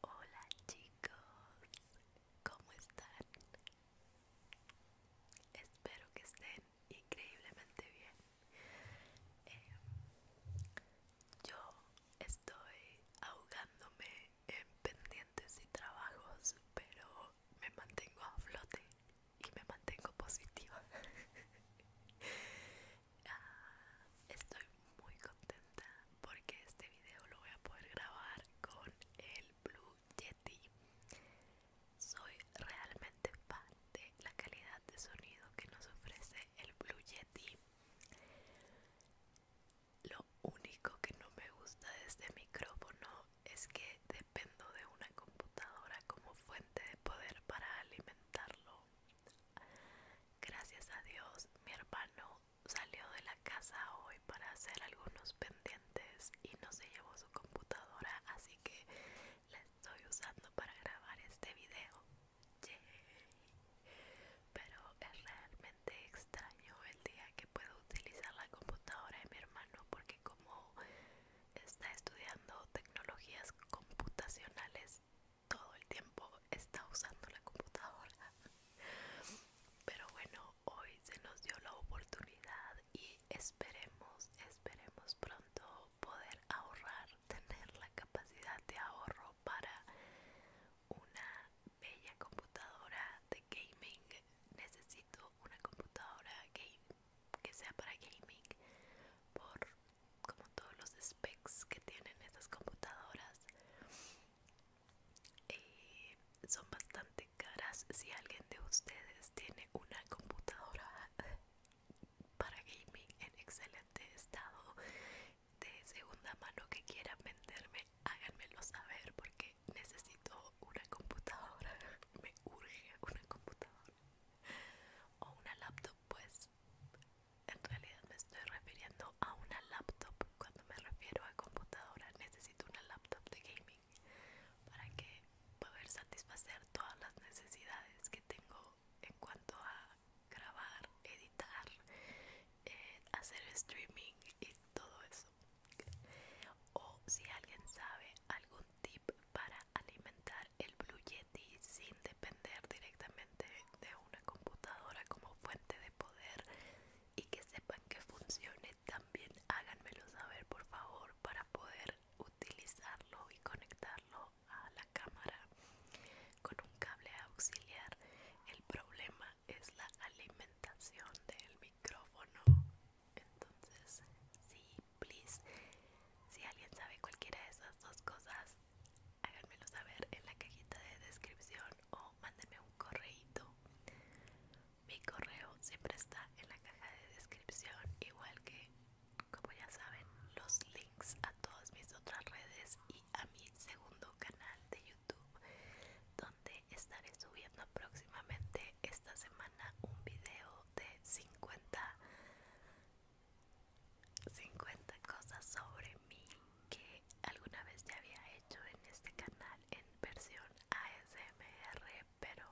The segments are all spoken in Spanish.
Hola chicos, ¿cómo están? Espero que estén increíblemente bien. Eh, yo estoy ahogándome en pendientes y trabajos, pero me mantengo a flote y me mantengo positiva. Ah, estoy muy contenta porque este video lo voy a poder grabar con el Blue Yeti. Soy realmente fan de la calidad de sonido que nos ofrece el Blue Yeti. Lo único que no me gusta de este micrófono es que dependo de una computadora como fuente de poder para alimentarlo Gracias a Dios, mi hermano salió de la casa hoy para hacer algunos pendientes y no se llevó su computadora, así que la estoy usando para grabar este video. Pero es realmente extraño el día que puedo utilizar la computadora de mi hermano porque como está estudiando tecnologías computacionales todo el tiempo está usando la computadora. Pero bueno, hoy se nos dio la oportunidad y esperemos, esperemos pronto poder ahorrar, tener la capacidad de ahorro para una bella computadora de gaming. Necesito una computadora game, que sea para gaming por como todos los specs que tienen estas computadoras eh, son bastante caras si alguien de ustedes tiene una computadora para gaming en excelente estado de segunda mano que quiera venderme háganmelo saber porque necesito una computadora me urge una computadora o una laptop pues en realidad me estoy refiriendo a una laptop. Cuando me refiero a computadora necesito una laptop de gaming para que poder satisfacer todas las necesidades que tengo en cuanto a grabar, editar, eh, hacer streaming y todo eso. O si alguien sabe algún tip para alimentar el Blue Yeti sin depender directamente de una computadora como fuente de poder y que sepan que funcione también háganmelo saber por favor para poder utilizarlo y conectarlo a la cámara con un cable auxiliar el problema es la alimentación del micrófono entonces sí please si alguien sabe cualquiera de esas dos cosas háganmelo saber en la cajita de descripción o mándeme un correito Mi correo siempre está en la caja de descripción, igual que, como ya saben, los links a todas mis otras redes y a mi segundo canal de YouTube, donde estaré subiendo próximamente esta semana un video de 50 50 cosas sobre mí que alguna vez ya había hecho en este canal en versión ASMR, pero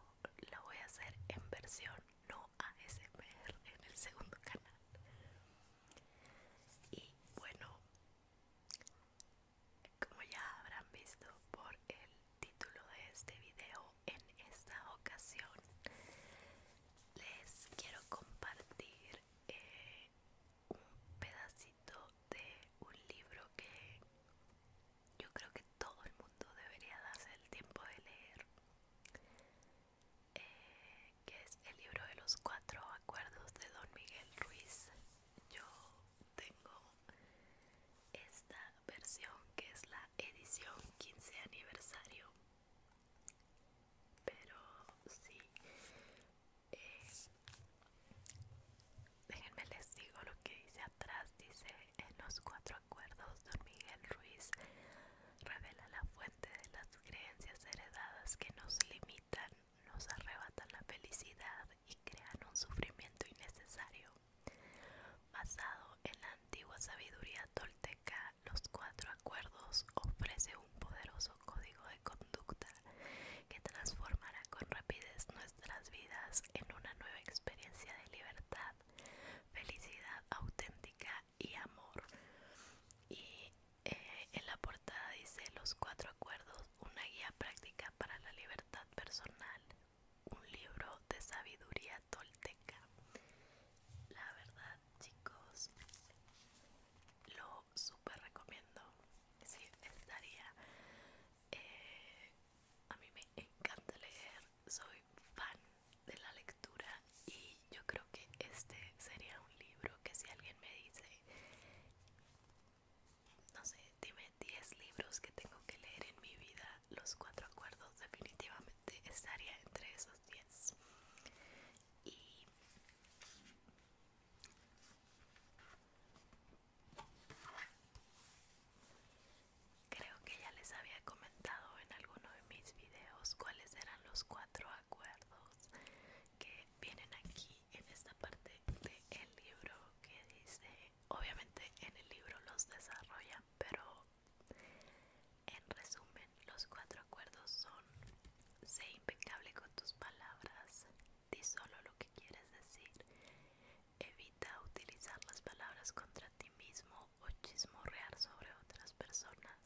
lo voy a hacer en versión no ASMR en el segundo canal. Y bueno, como ya habrán visto por el título de este video, en esta ocasión les quiero compartir eh, un pedacito de un libro que yo creo que todo el mundo debería darse el tiempo de leer, eh, que es el libro de los cuatro acuerdos de don Miguel Ruiz. Yo tengo esta versión que es la edición 15 aniversario pero sí eh, déjenme les digo lo que dice atrás dice en los cuatro acuerdos don Miguel Ruiz revela la fuente de las creencias heredadas que nos limitan nos arrebatan la felicidad y crean un sufrimiento innecesario basado en la antigua sabiduría tolteca los cuatro acuerdos ofrece un poderoso código de conducta que transformará con rapidez nuestras vidas en una nueva experiencia de libertad, felicidad auténtica y amor. Y eh, en la portada dice los cuatro acuerdos, una guía práctica para la libertad personal, un libro de sabiduría tolteca. La verdad chicos lo super recomiendo estaría eh, a mí me encanta leer soy fan de la lectura y yo creo que este sería un libro que si alguien me dice no sé dime 10 libros que tengo que leer en mi vida los cuatro acuerdos definitivamente estaría entre esos 10 y creo que ya les había comentado en alguno de mis videos cuáles eran los cuatro acuerdos que vienen aquí en esta parte del libro que dice obviamente en el libro los desarrolla pero en resumen los cuatro acuerdos son, sé impecable con tus palabras, di solo lo que quieres decir, evita utilizar las palabras contra ti mismo o chismorrear sobre otras personas,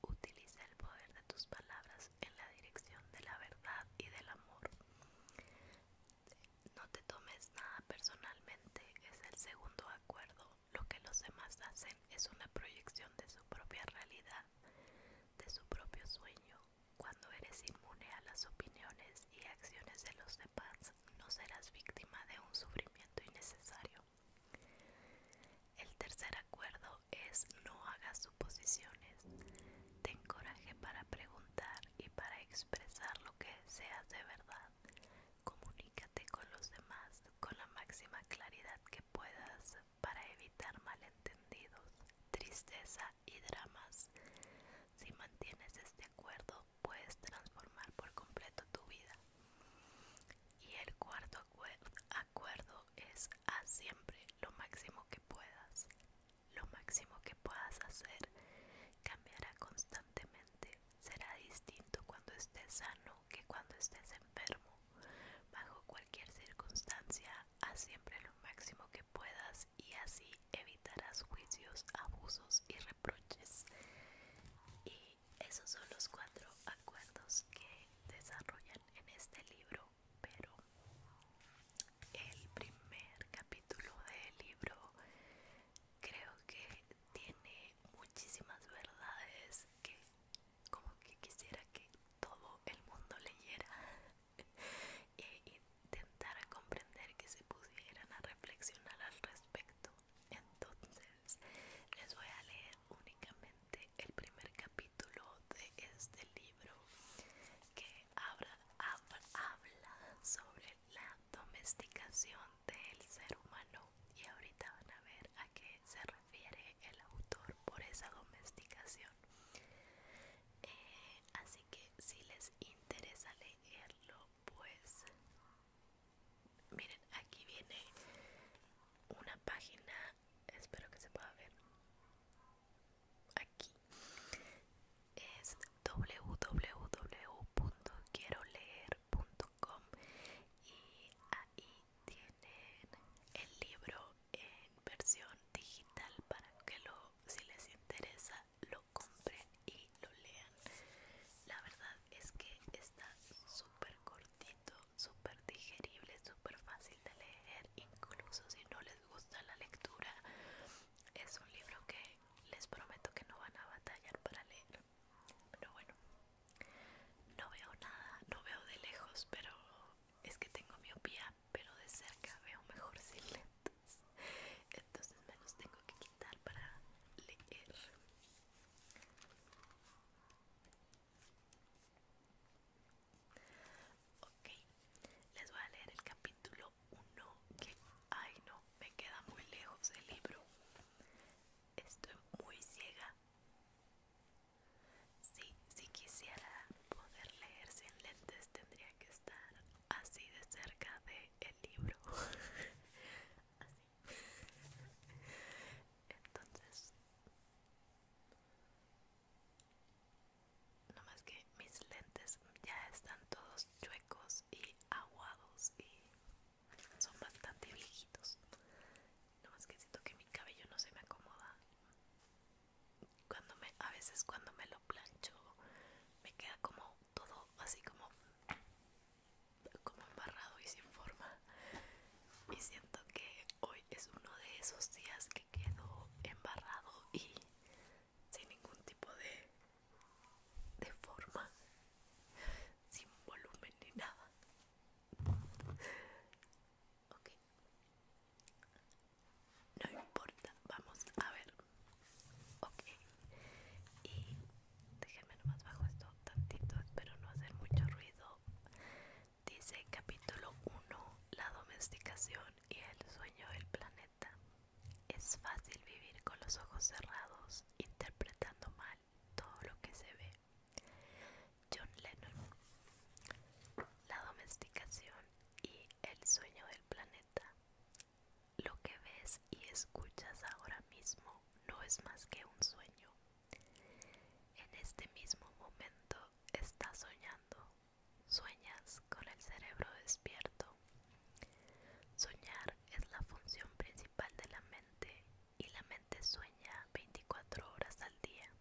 utiliza el poder de tus palabras en la dirección de la verdad y del amor. No te tomes nada personalmente, es el segundo acuerdo lo que los demás hacen es una proyección de su propia realidad, de su propio sueño. Cuando eres inmune a las opiniones y acciones de los demás, no serás víctima de un sufrimiento innecesario. El tercer acuerdo es no hagas suposiciones. Ten coraje para preguntar y para expresar lo que seas de verdad. Comunícate con los demás con la máxima claridad que puedas para evitar malentendidos, tristeza y dramas. Si mantienes este acuerdo, puedes transformar por completo tu vida. Y el cuarto acuerdo, acuerdo es a siempre lo máximo que puedas. Lo máximo que puedas hacer cambiará constantemente. Será distinto cuando estés sano que cuando estés enfermo, bajo cualquier circunstancia, haz siempre lo máximo que puedas y así evitarás juicios, abusos y reproches. Y esos son los cuatro acuerdos que desarrollan en este libro, pero el primer capítulo del libro creo que tiene muchísimas verdades que como que quisiera que todo el mundo leyera e intentara comprender que se pudieran a reflexionar al respecto. Entonces, les voy a leer únicamente el primer capítulo de este libro que habla, habla sobre la domesticación del ser humano y ahorita van a ver a qué se refiere el autor por esa domesticación. Eh, así que si les interesa leerlo, pues miren, aquí viene una página, espero que se pueda ver. Aquí es www.quieroleer.com y ahí tienen el libro en versión digital para que lo, si les interesa lo compren y lo lean. La verdad es que está súper cortito, súper digerible, súper fácil de leer, incluso si no les gusta la lectura. Es un libro que les prometo que no van a batallar para leer. Pero bueno, no veo nada, no veo de lejos, pero es que tengo miopía, pero de cerca veo mejor sin lentes. Entonces me los tengo que quitar para leer. Ok, les voy a leer el capítulo 1 que... Ay no, me queda muy lejos el libro. Estoy muy ciega. Sí, si quisiera poder leer sin lentes tendría que estar así de cerca de el libro. así. Entonces, no más que mis lentes ya están todos chuecos y aguados y son bastante viejitos no más que siento que mi cabello no se me acomoda. Cuando me, a veces cuando me lo plancho, me queda como todo así como, como embarrado y sin forma. Y siento que hoy es uno de esos días que quedo embarrado y sin ningún tipo de, de forma, sin volumen ni nada ok no importa vamos a ver ok y déjenme nomás bajo esto tantito espero no hacer mucho ruido dice capítulo 1 la domesticación y el sueño del planeta es fácil vivir con los ojos cerrados interpretando mal todo lo que se ve. John Lennon. La domesticación y el sueño del planeta. Lo que ves y escuchas ahora mismo no es más que un sueño. En este mismo momento estás soñando. Sueñas con el cerebro despierto. Soñar es la función principal de la mente y la mente sueña 24 horas al día.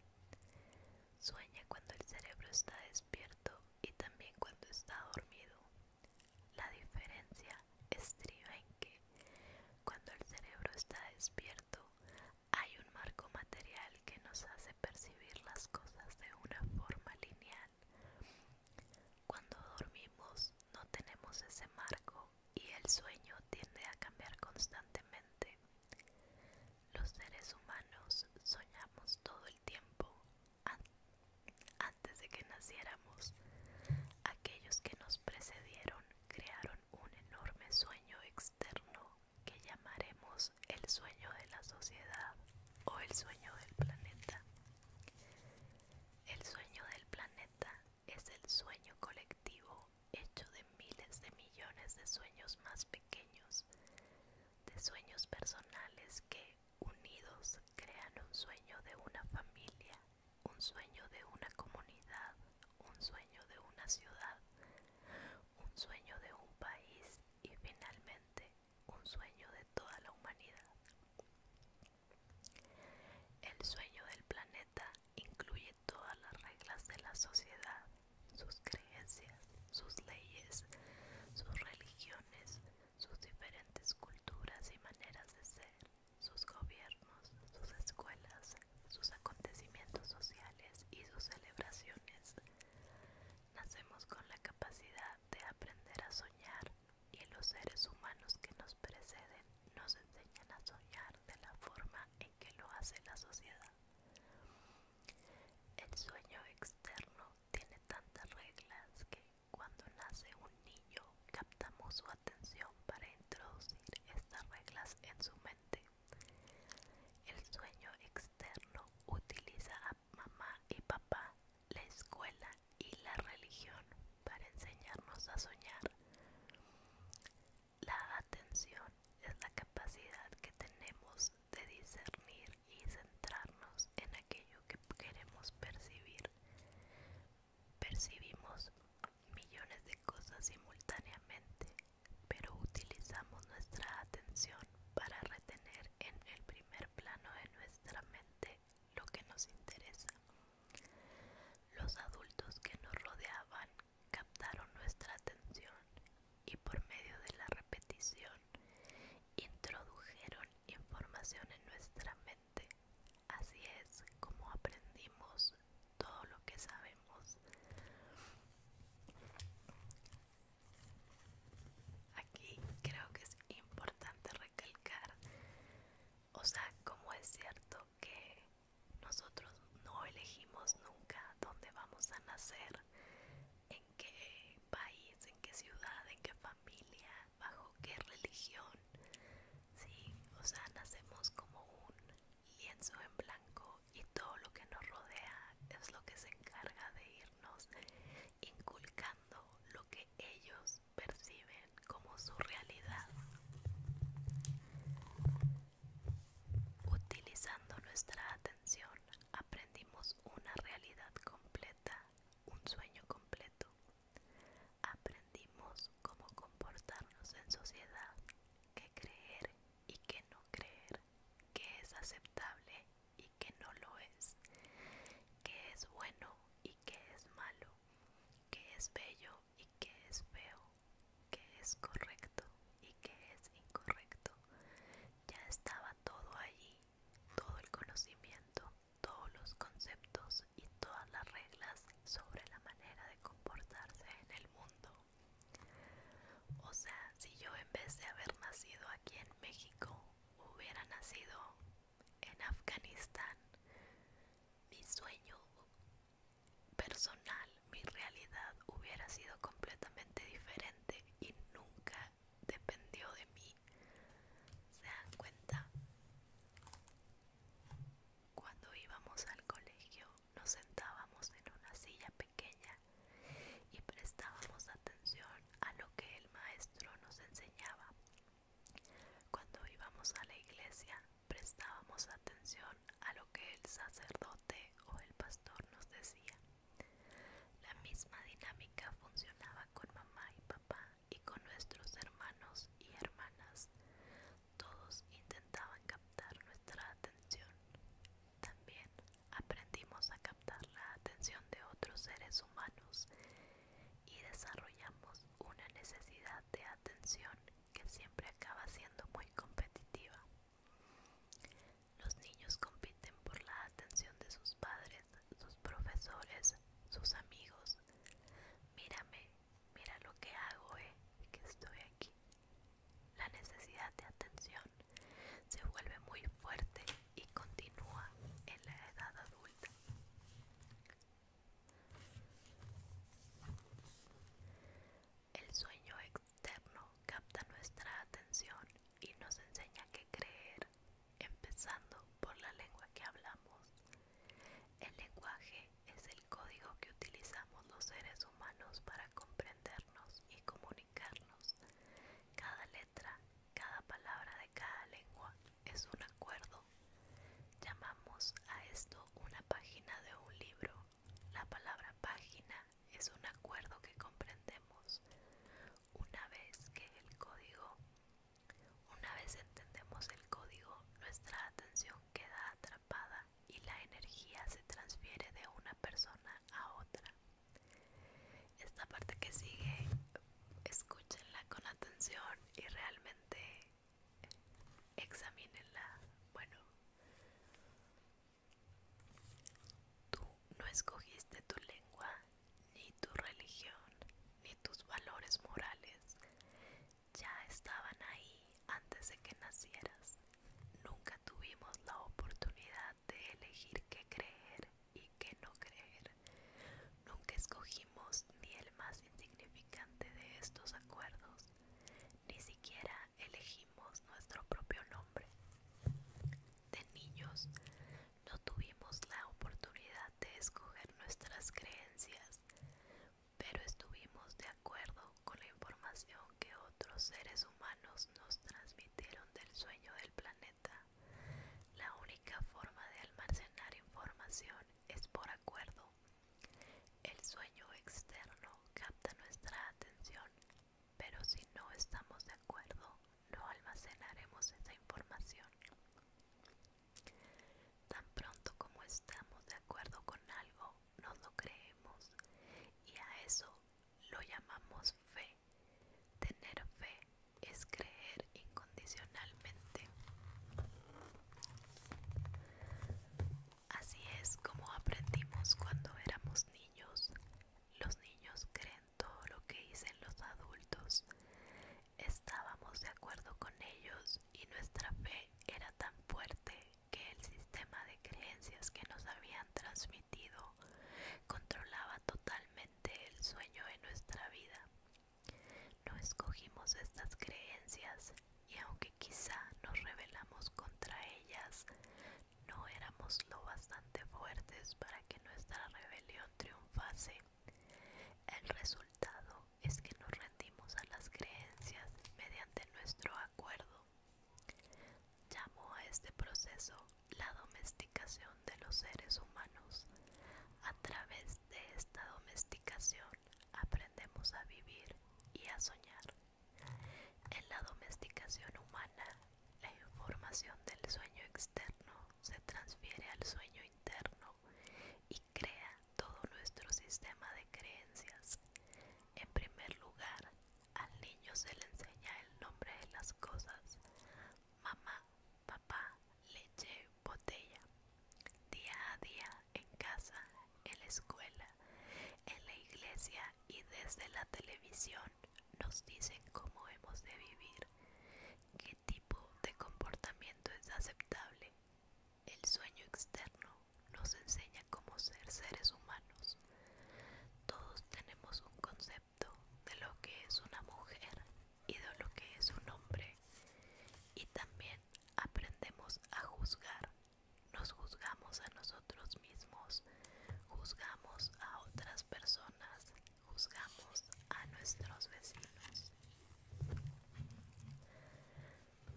Sueña cuando el cerebro está despierto y también cuando está dormido. La diferencia estriba en que cuando el cerebro está despierto hay un marco material que nos hace percibir las cosas de una forma lineal. Cuando dormimos no tenemos ese marco y el sueño tiende a cambiar constantemente. Los seres humanos soñamos todo el tiempo antes de que naciéramos. Aquellos que nos precedieron crearon un enorme sueño externo que llamaremos el sueño de la sociedad o el sueño del planeta. El sueño del planeta es el sueño colectivo hecho de miles de millones de sueños más pequeños, de sueños personales que, unidos, crean un sueño de una familia, un sueño de una comunidad, un sueño de una ciudad, un sueño de un país y finalmente un sueño de toda la humanidad. El sueño del planeta incluye todas las reglas de la sociedad, sus creencias, sus leyes, sus religiones, sus diferentes culturas y maneras de ser, sus gobiernos, sus escuelas, sus acontecimientos sociales y sus celebraciones. Nacemos con la capacidad de aprender a soñar y los seres humanos que nos preceden nos enseñan a soñar de la forma en que lo hace la sociedad. El sueño externo tiene tantas reglas que cuando nace un niño captamos su atención para introducir estas reglas en su mente. El sueño externo utiliza a mamá y papá, la escuela y la religión para enseñarnos a soñar. La atención es la capacidad que tenemos de discernir y centrarnos en aquello que queremos percibir. Percibimos millones de cosas simultáneamente, pero utilizamos nuestra atención para retener en el primer plano de nuestra mente lo que nos interesa. Los adultos que nos rodeaban captaron nuestra atención y por medio de la repetición introdujeron información en nuestra mente. Así es como aprendimos todo lo que sabemos. Aquí creo que es importante recalcar, o sea, como es cierto que nosotros no elegimos nunca dónde vamos a nacer, en qué país, en qué ciudad, en qué familia, bajo qué religión. o sea, nacemos como un lienzo en blanco y todo lo que nos rodea es lo que se encarga de irnos inculcando lo que ellos perciben como su realidad. Utilizando nuestra atención aprendimos una realidad completa, un sueño completo. Aprendimos cómo comportarnos en sociedad, qué creer y qué no creer, qué es aceptable y qué no lo es, qué es bueno y qué es malo, qué es bello y qué es feo, qué es correcto y qué es incorrecto. Ya estaba todo allí, todo el conocimiento, todos los conceptos y todas las reglas sobre la manera de comportarse en el mundo. O sea, si yo en vez de haber nacido aquí en México hubiera nacido en Afganistán, mi sueño personal mi realidad hubiera sido completamente diferente y nunca dependió de mí. ¿Se dan cuenta? Cuando íbamos al colegio nos sentábamos en una silla pequeña y prestábamos atención a lo que el maestro nos enseñaba. Cuando íbamos a la iglesia prestábamos atención a lo que el sacerdote o el pastor nos decía. La misma dinámica funcionaba con mamá y papá y con nuestros hermanos y hermanas. Todos intentaban captar nuestra atención. También aprendimos a captar la atención de otros seres humanos y desarrollamos una necesidad de atención que siempre acaba siendo muy competitiva. Los niños compiten por la atención de sus padres, sus profesores, sus amigos. Mírame, mira lo que hago, eh, que estoy aquí. La necesidad de atención se vuelve muy fuerte y continúa en la edad adulta. El sueño capta nuestra atención y nos enseña que creer, empezando por la lengua que hablamos. El lenguaje es el código que utilizamos los seres humanos para comprendernos y comunicarnos. Cada letra, cada palabra de cada lengua es un acuerdo. Llamamos a esto una página de un libro la palabra página es un acuerdo que comprendemos una vez que el código, una vez entendemos el código, nuestra atención queda atrapada y la energía se transfiere de una persona a otra. Esta parte que sigue, escúchenla con atención y realmente examínenla. Bueno, Tú no escogiste tu lengua, ni tu religión, ni tus valores morales. Ya estaban ahí antes de que nacieras. Nunca tuvimos la oportunidad de elegir qué creer y qué no creer. Nunca escogimos ni el más insignificante de estos acuerdos, ni siquiera elegimos nuestro propio nombre. De niños no tuvimos la oportunidad de escoger nuestras creencias, pero estuvimos de acuerdo con la información que otros seres humanos nos transmitieron del sueño del planeta. La única forma de almacenar información es por acuerdo el sueño externo capta nuestra atención, pero si no estamos de acuerdo, no almacenaremos esa información. Tan pronto como estamos de acuerdo con algo, no lo creemos y a eso lo llamamos fe. Tener fe es creer incondicionalmente. Así es como aprendimos cuando éramos niños. Los niños creen todo lo que dicen los adultos. Estábamos de acuerdo con ellos y nuestra fe era tan fuerte que el sistema de creencias que nos habían transmitido controlaba totalmente el sueño de nuestra vida. No escogimos estas creencias, y aunque quizá nos rebelamos contra ellas, no éramos lo bastante fuertes para que nuestra rebelión triunfase. El resultado es que nos rendimos a las creencias mediante nuestro acuerdo. Llamó a este proceso la domesticación de los seres humanos. A través de esta domesticación aprendemos a vivir y a soñar. En la domesticación humana, la información del sueño externo se transfiere al sueño interno y crea todo nuestro sistema de creencias. En primer lugar, al niño se le enseña el nombre de las cosas. Mamá, papá, leche, botella. Día a día, en casa, en la escuela, en la iglesia y desde la televisión nos dicen cómo hemos de vivir, qué tipo de comportamiento es aceptable. El sueño externo nos enseña cómo ser seres humanos. Todos tenemos un concepto de lo que es una mujer y de lo que es un hombre. Y también aprendemos a juzgar nos juzgamos a nosotros mismos, juzgamos a otras personas, juzgamos a nuestros vecinos.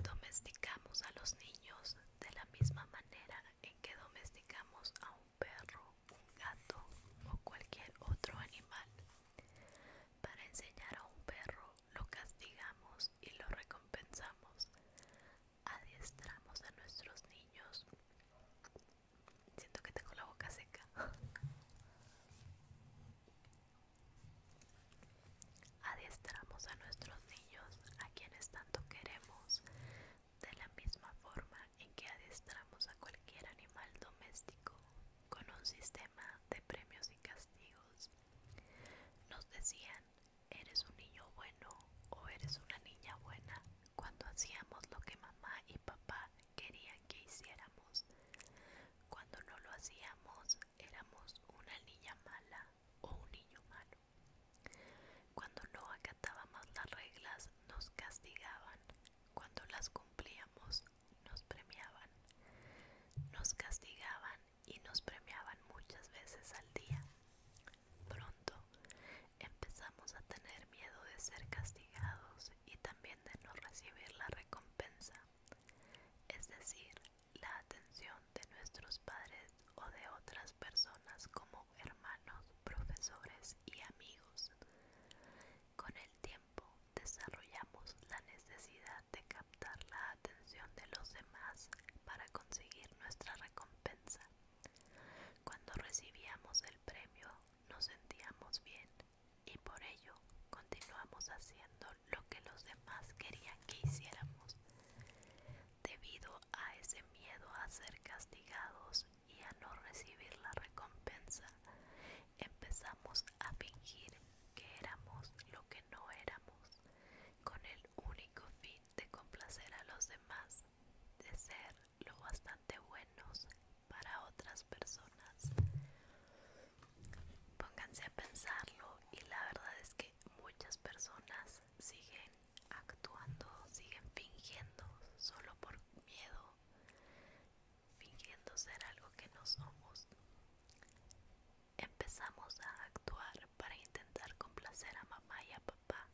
Domesticamos a los niños de la misma manera en que domesticamos a un perro, un gato o cualquier otro animal. Para enseñar a un perro lo castigamos y lo recompensamos adiestramos a nuestros niños. Siento que tengo la boca seca. adiestramos a nuestros niños a quienes tanto queremos, de la misma forma en que adiestramos a cualquier animal doméstico con un sistema de premios y castigos. Nos decían ¿Eres un niño bueno o eres una niña buena? Cuando hacíamos lo que mamá y papá querían que hiciéramos. Cuando no lo hacíamos, éramos una niña mala o un niño malo. Cuando no acatábamos las reglas, nos castigaban. Cuando las cumplíamos, nos premiaban. Nos castigaban y nos premiaban muchas veces al día. Pronto empezamos a tener miedo de ser castigados y también de no recibir la recompensa, es decir, la atención de nuestros padres o de otras personas como hermanos, profesores y amigos. Con el tiempo desarrollamos la necesidad de captar la atención de los demás para conseguir nuestra recompensa. Cuando recibíamos el premio nos sentíamos bien y por ello continuamos haciendo lo que los demás querían que hiciéramos. Debido a ese miedo a ser castigados y a no recibir la recompensa, empezamos a fingir que éramos lo que no éramos, con el único fin de complacer a los demás, de ser lo bastante buenos para otras personas. Pónganse a pensarlo y la verdad es que muchas personas siguen actuando, siguen fingiendo solo por miedo, fingiendo ser algo que no somos. Empezamos a actuar para intentar complacer a mamá y a papá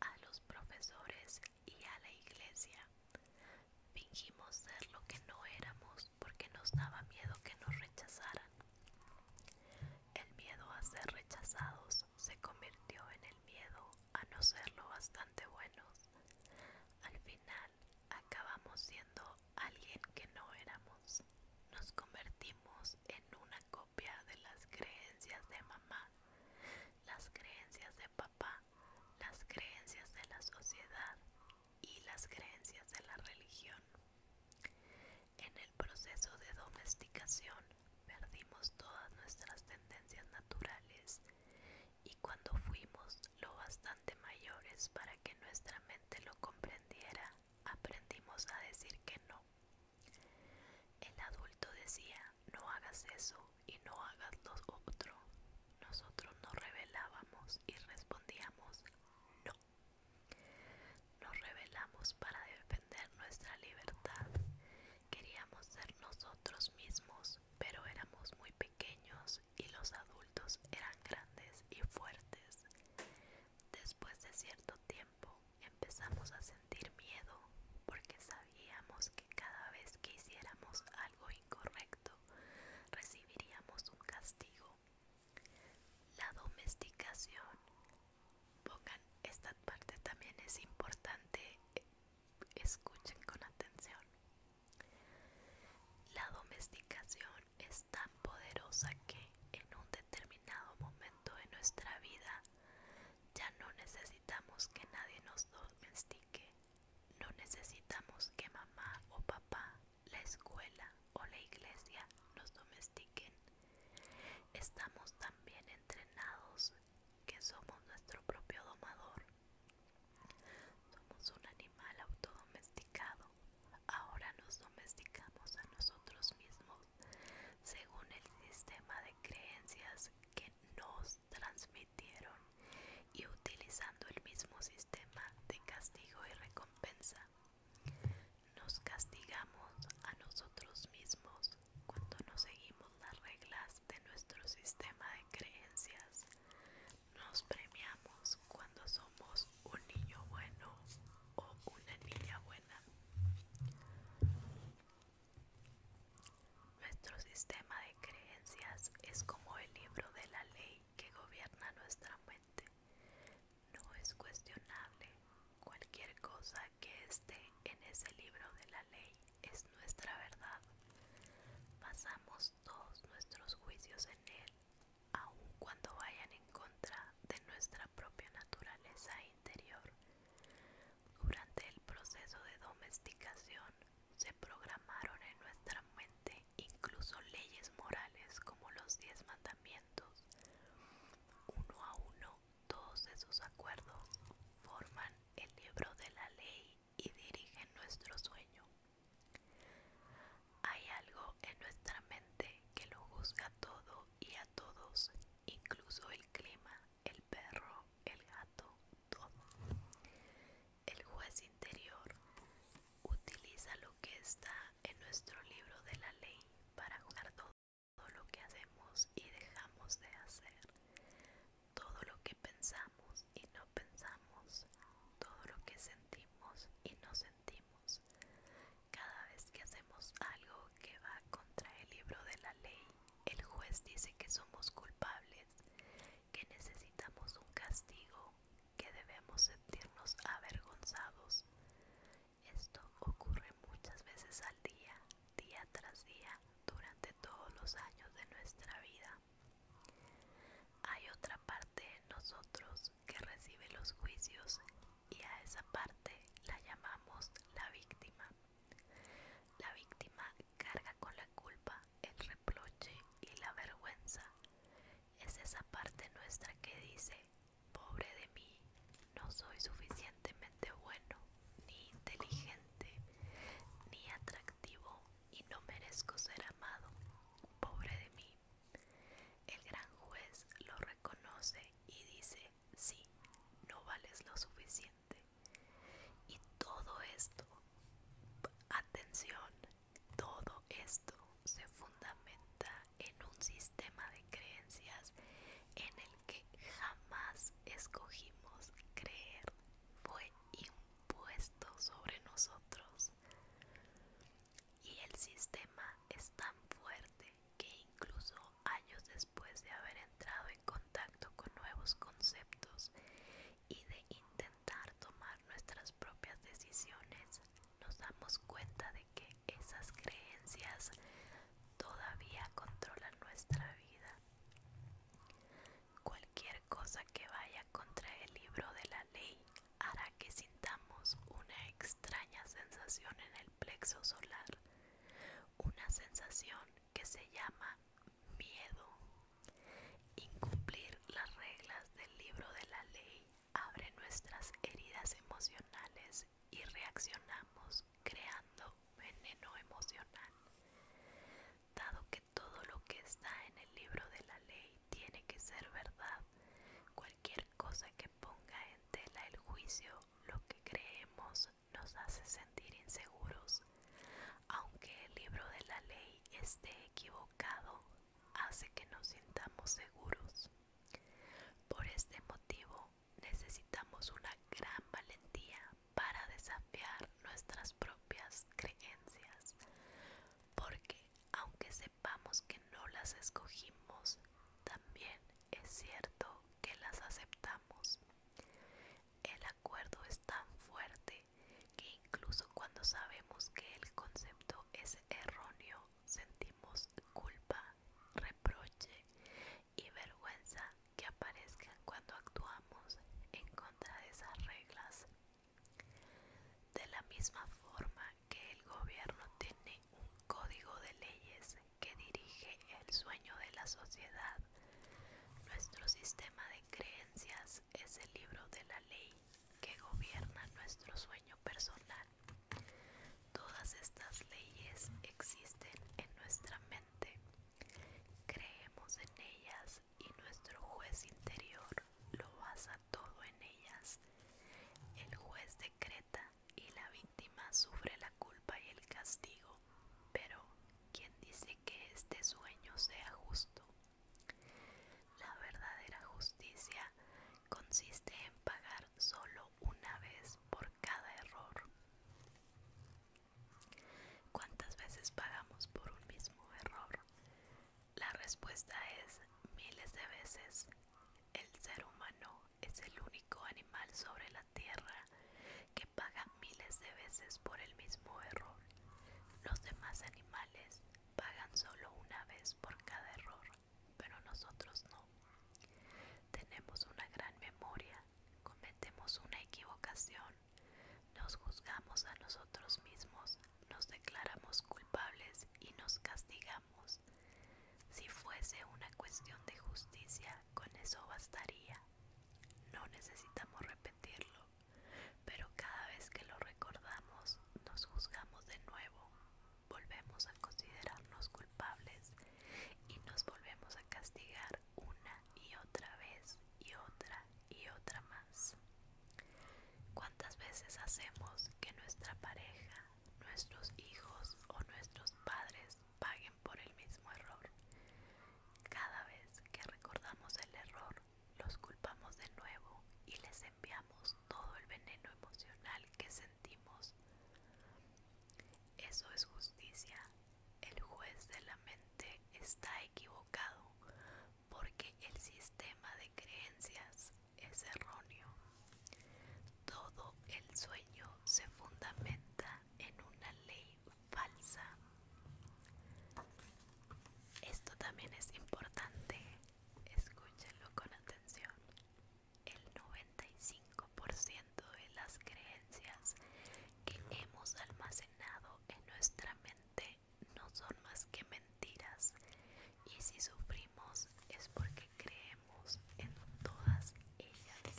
a los profesores y a la iglesia. Fingimos ser lo que no éramos porque nos daba miedo que nos rechazaran. El miedo a ser rechazados se convirtió en el miedo a no serlo bastante buenos. Al final acabamos siendo alguien que no éramos. Nos convertimos en una de las creencias de mamá, las creencias de papá, las creencias de la sociedad y las creencias de la religión. En el proceso de domesticación perdimos todas nuestras tendencias naturales y cuando fuimos lo bastante mayores para que nuestra mente lo comprendiera, aprendimos a decir que no el adulto decía, no hagas eso y no hagas lo otro. Nosotros nos rebelábamos y respondíamos, no. Nos rebelamos para defender nuestra libertad. Queríamos ser nosotros mismos, pero éramos muy pequeños y los adultos eran grandes y fuertes. Después de cierto tiempo empezamos a sentir miedo porque sabíamos que cada vez que hiciéramos algo incorrecto recibiríamos un castigo. La domesticación. Pongan, esta parte también es importante. Escuchen con atención. La domesticación es tan poderosa que en un determinado momento de nuestra vida ya no necesitamos que nadie nos domestique. No necesitamos que mamá o papá, la escuela o la iglesia nos domestiquen. Estamos tan bien entrenados que somos nuestro propio domador. Somos un animal autodomesticado. Ahora nos domesticamos a nosotros mismos según el sistema de creencias que nos transmitieron y utilizando el mismo sistema de castigo y recompensa. Nos castigamos a nosotros mismos cuando no seguimos las reglas de nuestro sistema de creencias. Nos premiamos cuando somos un niño bueno o una niña buena. Nuestro sistema de creencias es como el libro de la ley que gobierna nuestra mente. No es cuestionable. Cualquier cosa que esté en ese libro de la ley es nuestra verdad. Pasamos todos nuestros juicios en él, aun cuando vayan en contra de nuestra propia naturaleza interior. Durante el proceso de domesticación se programaron en nuestra mente incluso leyes morales como los diez mandamientos. Uno a uno, todos esos acuerdos forman el libro de la ley y dirigen nuestro sueño. Hay algo en nuestra mente que lo juzga todo y a todos incluso el clima, el perro, el gato, todo. El juez interior utiliza lo que está en nuestro libro de la ley para jugar todo lo que hacemos y dejamos de hacer, todo lo que pensamos y no pensamos, todo lo que sentimos y no sentimos, cada vez que hacemos algo que va contra el libro de la ley, el juez dice que somos culpables, que necesitamos un castigo, que debemos sentirnos avergonzados. Esto ocurre muchas veces al día, día tras día, durante todos los años de nuestra vida. Hay otra parte de nosotros que recibe los juicios y a esa parte la llamamos la víctima. La víctima carga con la culpa, el reproche y la vergüenza. Es esa parte nuestra que dice, pobre de mí, no soy suficientemente bueno, ni inteligente, ni atractivo y no merezco ser amado, pobre de mí. El gran juez lo reconoce y dice, sí, no vales lo suficiente. Y todo esto, atención, todo esto se fundamenta en un sistema de creencias en el que jamás escogimos creer. Fue impuesto sobre nosotros. Y el sistema es tan fuerte que incluso años después después de haber entrado en contacto con nuevos conceptos y de intentar tomar nuestras propias decisiones, nos damos cuenta de que esas creencias todavía controlan nuestra vida. Cualquier cosa que vaya contra el libro de la ley hará que sintamos una extraña sensación en el plexo solar una sensación que se llama miedo. Incumplir las reglas del libro de la ley abre nuestras heridas emocionales y reaccionamos creando veneno emocional. Dado que todo lo que está en el libro de la ley tiene que ser verdad, cualquier cosa que ponga en tela el juicio, lo que creemos nos hace sentir inseguros. Aunque el libro de la ley esté equivocado, hace que nos sintamos seguros. Por este motivo, necesitamos una gran valentía para desafiar nuestras propias creencias, porque aunque sepamos que no las escogimos, también es cierto que las aceptamos. El acuerdo es tan fuerte que incluso cuando sabemos que el concepto es erróneo, sentimos culpa, reproche y vergüenza que aparezcan cuando actuamos en contra de esas reglas. De la misma forma que el gobierno tiene un código de leyes, que dirige el sueño de la sociedad. Nuestro sistema de creencias es el libro de la ley que gobierna nuestro sueño personal. Todas estas leyes existen en nuestra mente. Creemos en ellas y nuestro juez interior lo basa todo en ellas. El juez decreta y la víctima sufre la culpa y el castigo. Pero, ¿quién dice que este sueño sea justo? La verdadera justicia consiste en pagar solo una vez por cada error. ¿Cuántas veces pagamos por un mismo error? La respuesta es miles de veces. El ser humano es el único animal sobre la tierra que pagan miles de veces por el mismo error. Los demás animales pagan solo una vez por cada error, pero nosotros no. Tenemos una gran memoria, cometemos una equivocación, nos juzgamos a nosotros mismos, nos declaramos culpables y nos castigamos. Si fuese una cuestión de justicia, con eso bastaría. No necesitamos repetirlo, pero cada vez que lo recordamos nos juzgamos de nuevo, volvemos a considerarnos culpables y nos volvemos a castigar una y otra vez y otra y otra más. ¿Cuántas veces hacemos que nuestra pareja, nuestros hijos o nuestros padres paguen por el mismo error. Cada vez que recordamos el error, los culpamos de nuevo y les enviamos todo el veneno emocional que sentimos. Eso es justicia. El juez de la mente está equivocado porque el sistema de creencias es erróneo. Todo el sueño se fundamenta en una ley falsa. Esto también es importante, escúchenlo con atención. El 95% de las creencias que hemos almacenado en nuestra mente no son más que mentiras y si sufrimos es porque creemos en todas ellas.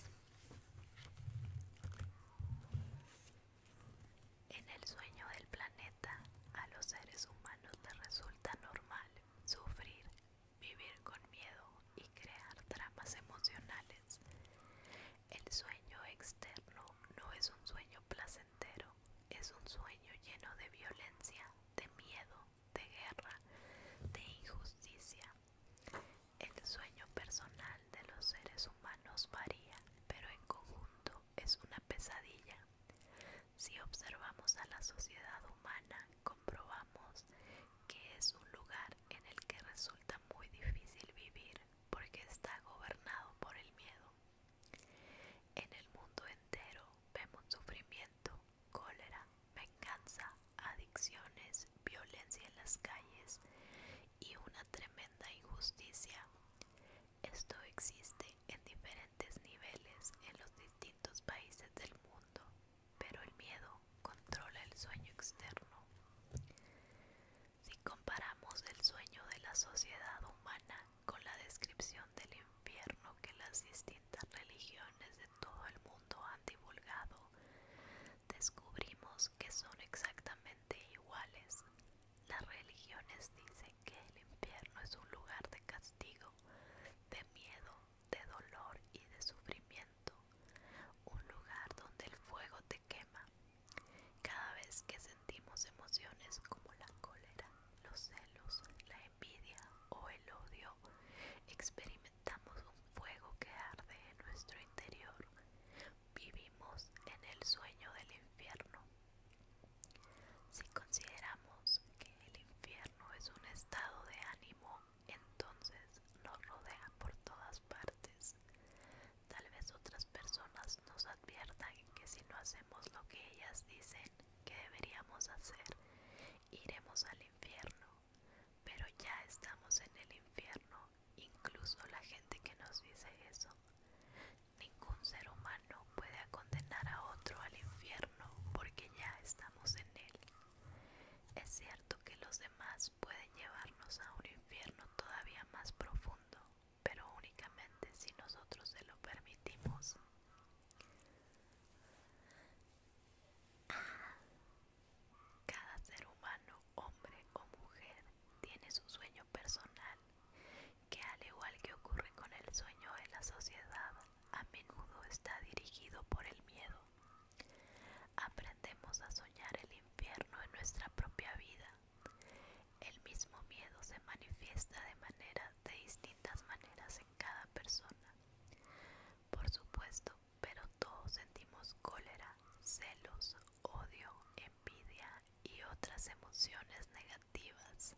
En el sueño del planeta, a los seres humanos les resulta normal sufrir, vivir con miedo y crear tramas emocionales. El sueño externo no es un sueño placentero, es un sueño lleno de violencia, de miedo, de guerra, de injusticia. El sueño personal de los seres humanos varía, pero en conjunto es una pesadilla. Si observamos a la sociedad humana, comprobamos que es un lugar en el que resulta muy difícil vivir porque está gobernado por el miedo. En el mundo entero vemos sufrimiento, cólera, venganza, adicciones, violencia en las calles y una tremenda injusticia. Esto existe en diferentes niveles en los distintos países del mundo, pero el miedo controla el sueño externo. Si comparamos el sueño de la sociedad humana con la descripción del infierno que las distintas religiones de todo el mundo han divulgado, descubrimos que son exactamente iguales. Las religiones dicen que el infierno es un lugar de castigo, de miedo, de dolor y de sufrimiento, un lugar donde el fuego te quema. Cada vez que sentimos emociones como la cólera, los celos, la envidia o el odio, experimentamos un fuego que arde en nuestro interior. Vivimos en el sueño del infierno. Si consideramos que el infierno es un estado de ánimo, entonces nos rodea por todas partes. Tal vez otras personas nos adviertan que si no hacemos lo que ellas dicen que deberíamos hacer, iremos al infierno pero ya estamos en el infierno, incluso la gente que nos dice eso. Ningún ser humano puede condenar a otro al infierno porque ya estamos en él. Es cierto que los demás pueden llevarnos a un infierno todavía más profundo, pero únicamente si nosotros se lo permitimos. Ah, cada ser humano, hombre o mujer, tiene su sueño personal, que al igual que ocurre con el sueño de la sociedad, a menudo está dirigido por el miedo. Aprendemos a soñar el infierno en nuestra propia vida. El mismo miedo se manifiesta de de distintas maneras en cada persona. Por supuesto, pero todos sentimos cólera, celos, odio, envidia y otras emociones negativas.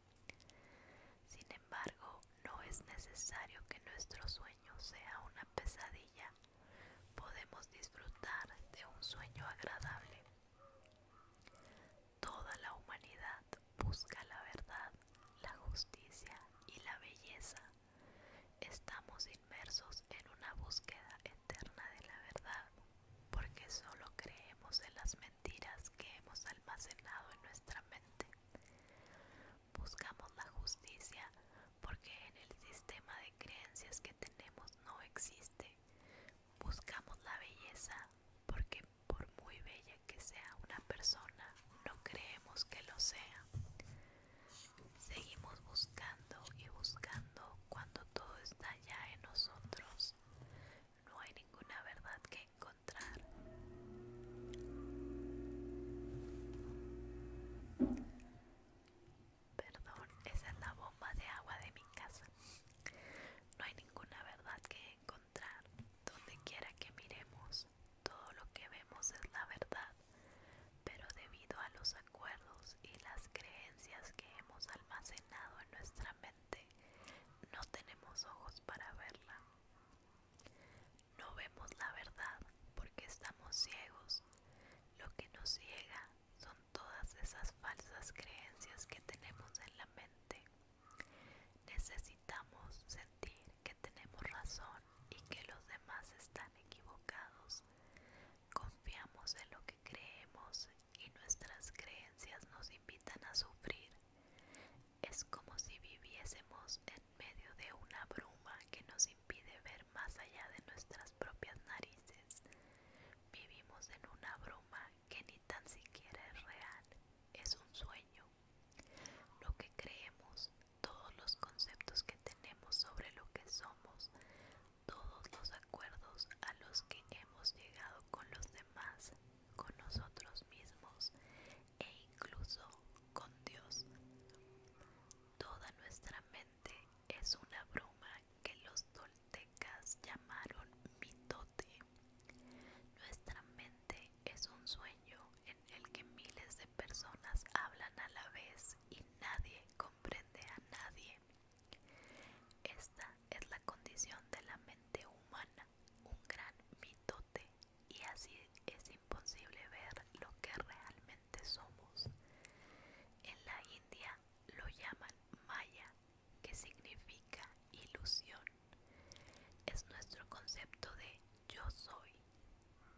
Sin embargo, no es necesario que nuestro sueño sea una pesadilla. Podemos disfrutar de un sueño agradable. Toda la humanidad busca la verdad, la justicia y la belleza. Estamos inmersos en una búsqueda eterna de la verdad, porque solo creemos en las mentiras que hemos almacenado en nuestra mente. Buscamos la justicia porque en el sistema de creencias que tenemos no existe. Buscamos la belleza porque por muy bella que sea una persona, no creemos que lo sea. Seguimos buscando y buscando cuando todo está ya en nosotros. No hay ninguna verdad que encontrar. Perdón, esa es la bomba de agua de mi casa. No hay ninguna verdad que encontrar. Donde quiera que miremos, todo lo que vemos es la verdad pero debido a los acuerdos y las creencias que hemos almacenado en nuestra mente, no tenemos ojos para verla. No vemos la verdad porque estamos ciegos. Lo que nos ciega son todas esas falsas creencias que tenemos en la mente. Necesitamos sentir que tenemos razón y que los demás están equivocados. Confiamos en lo que creemos y nuestras creencias nos invitan a sufrir. Es como si viviésemos en medio de una bruma que nos impide ver más allá de nuestras propias narices. Vivimos en una bruma que ni tan siquiera es real, es un sueño. Lo que creemos todos los conceptos que tenemos sobre lo que somos, todos los acuerdos a los que hemos llegado con los demás, con nosotros mismos e incluso con Dios. Toda nuestra mente es una bruma que los toltecas llamaron mitote. Nuestra mente es un sueño en el que miles de personas hablan a la vez y nadie comprende a nadie. Esta es la condición de la mente humana, un gran mitote, y así es imposible ver lo que realmente somos. En la India lo llaman Maya, que significa ilusión. Es nuestro concepto de yo soy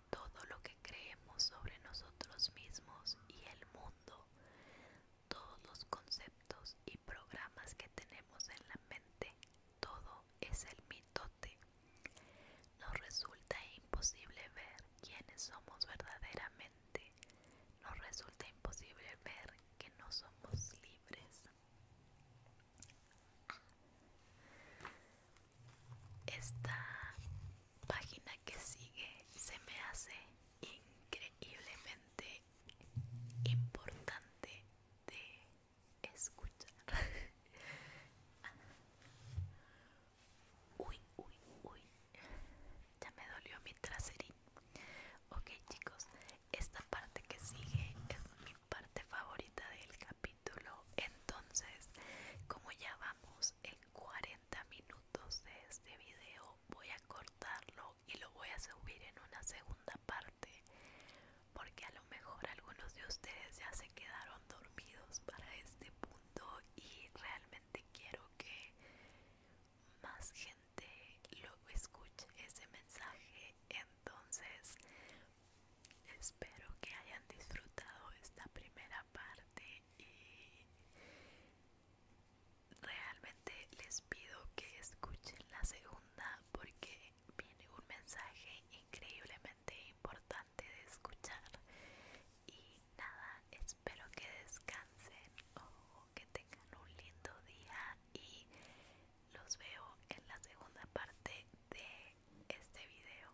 todo lo que creemos sobre nosotros mismos y el mundo, todos los conceptos y programas que tenemos en la mente, todo es el mitote. Nos resulta imposible ver quiénes somos verdaderamente, nos resulta imposible ver que no somos libres. Esta página que sigue se me hace increíblemente importante de escuchar. uy, uy, uy. Ya me dolió mi traserín. Ok chicos, esta parte que sigue es mi parte favorita del capítulo. Entonces, como ya vamos en 40 minutos de este video voy a cortarlo y lo voy a subir en una segunda parte porque a lo mejor algunos de ustedes ya se quedaron dormidos para este punto y realmente quiero que más gente lo escuche ese mensaje entonces espero que hayan disfrutado esta primera parte realmente les pido que escuchen la segunda porque viene un mensaje increíblemente importante de escuchar y nada espero que descansen o que tengan un lindo día y los veo en la segunda parte de este video